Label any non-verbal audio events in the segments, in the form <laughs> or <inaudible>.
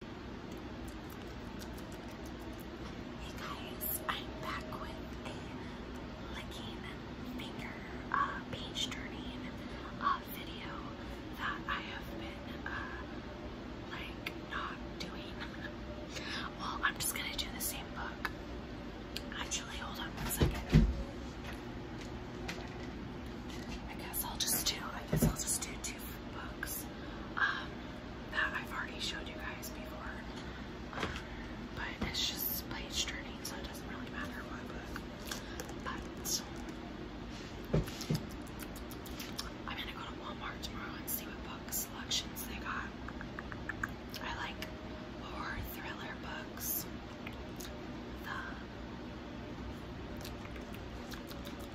Hey guys, I'm back with a licking finger uh, page uh, video that I have been uh, like not doing. <laughs> well, I'm just gonna do the same book. Actually, hold on one second. I guess I'll just do. I guess I'll just do two books um, that I've already showed you guys before. Um, but it's just page turning, so it doesn't really matter what book. But I'm gonna go to Walmart tomorrow and see what book selections they got. I like horror thriller books.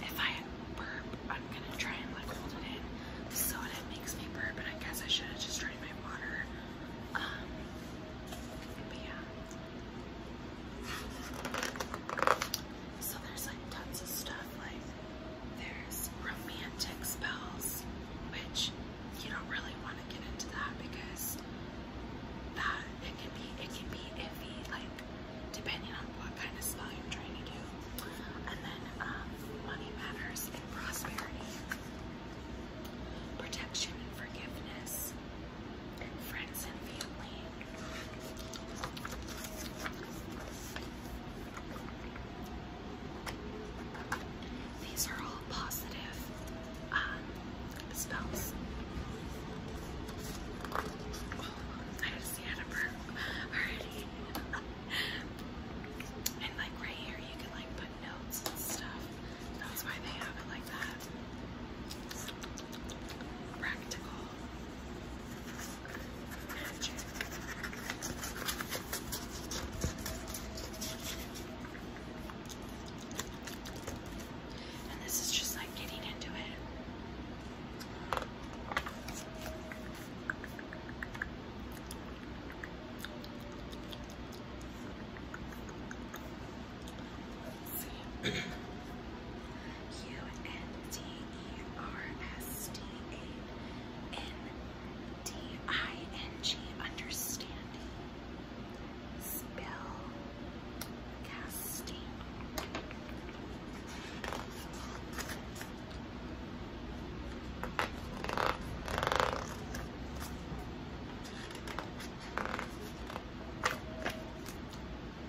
If I burp, I'm gonna try and like hold it in. The soda makes me burp, but I guess I should have just drained my water. Um, but yeah. So there's like tons of stuff. Like there's romantic spells, which you don't really want to get into that because that it can be it can be iffy, like depending on what kind of spell you're trying to do. And then um, money matters and prosperity, protection and forgiveness, and friends and family. These are all positive um, spells. I had see how to burn already. and like right here, you can like put notes and stuff. That's why they have it like that. Practical. And this is just like getting into it. see. U N T E R S T A N D I N G understanding. Spell casting.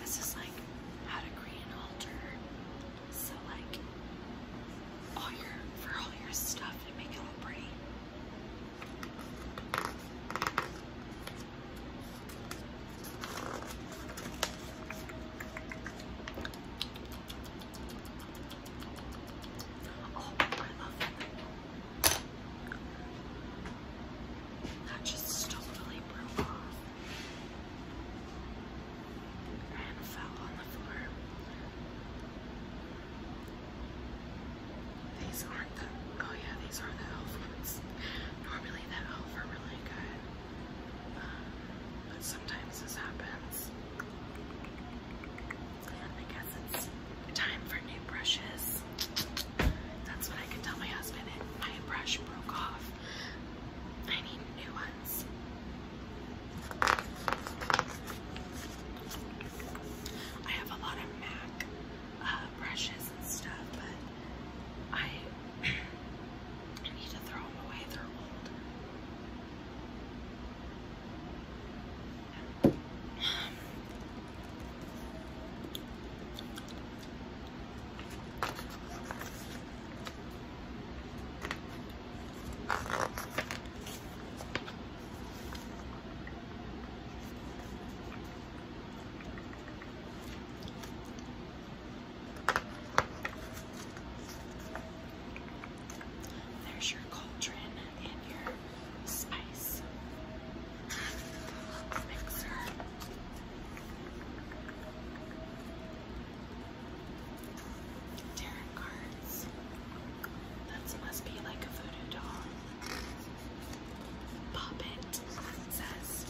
This is like how to create an altar. So like all your for all your stuff and make it look pretty. Oh, I love that. That just totally broke off and fell on the floor. These aren't the, oh yeah, these are the elf Normally the elf are really good, uh, but sometimes this happens. I guess it's time for new brushes. That's what I can tell my husband. My brush broke off. I need new ones. I have a lot of MAC uh, brushes and stuff, but I <clears throat> need to throw them away. They're old. There's your cauldron and your spice mixer. Tarot cards. That must be like a voodoo doll. Poppet says.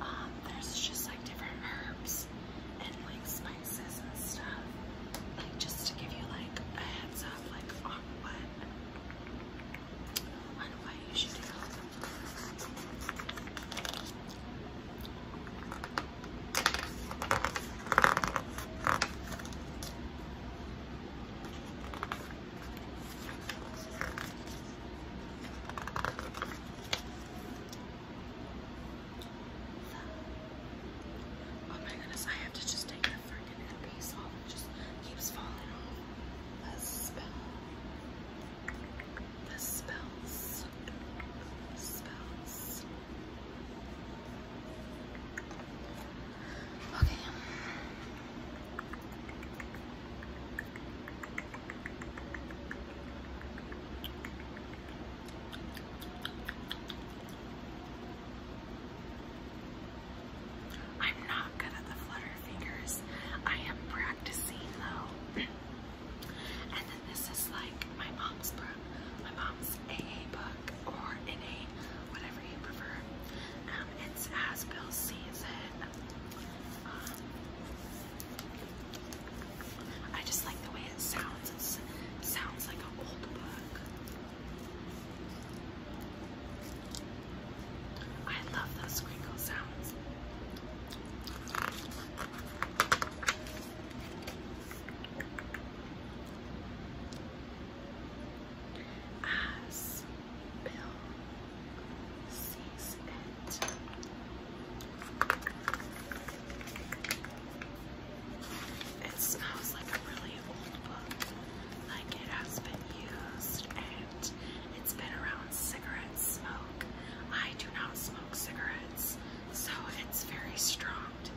Um, there's just like different herbs and like spices and stuff. Like just to give you like a heads stuff like on oh, what on what you should do. Oh my goodness, I have to just take the freaking piece off. It just keeps falling off. The spell. The spells. spells. Okay. I'm not good at the flutter fingers. I am practicing though. <clears throat> and then this is like my mom's book, my mom's AA book or NA, whatever you prefer. Um, it's as Bill sees it. Um, I just like the way it sounds. sounds like an old book. I love those squeakle sounds. As Bill sees it smells like a really old book, like it has been used and it's been around cigarette smoke. I do not smoke cigarettes, so it's very strong to me.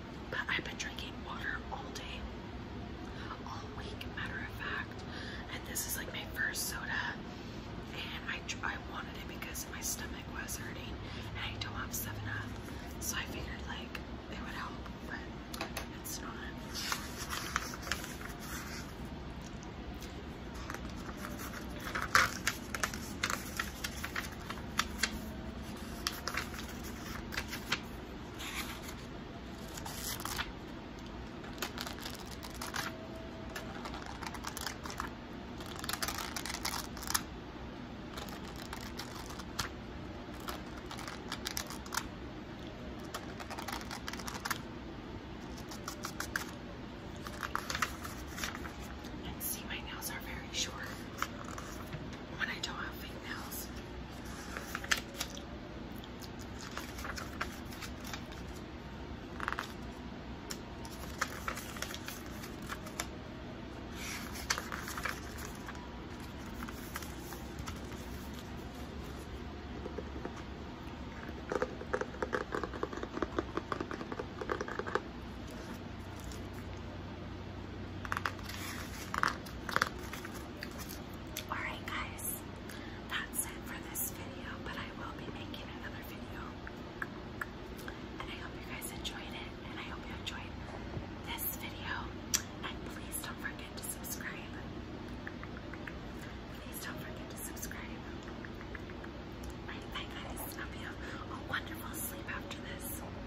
But I've been drinking water all day, all week, matter of fact. And this is like my first soda. And I, I wanted it because my stomach was hurting and I don't have 7 So I figured like it would help, but it's not. And see, my nails are very short when I don't have fake nails. Alright, guys, that's it for this video, but I will be making another video. And I hope you guys enjoyed it, and I hope you enjoyed this video. And please don't forget to subscribe. Please don't forget to subscribe. Alright, bye guys. I you a wonderful sleep after this.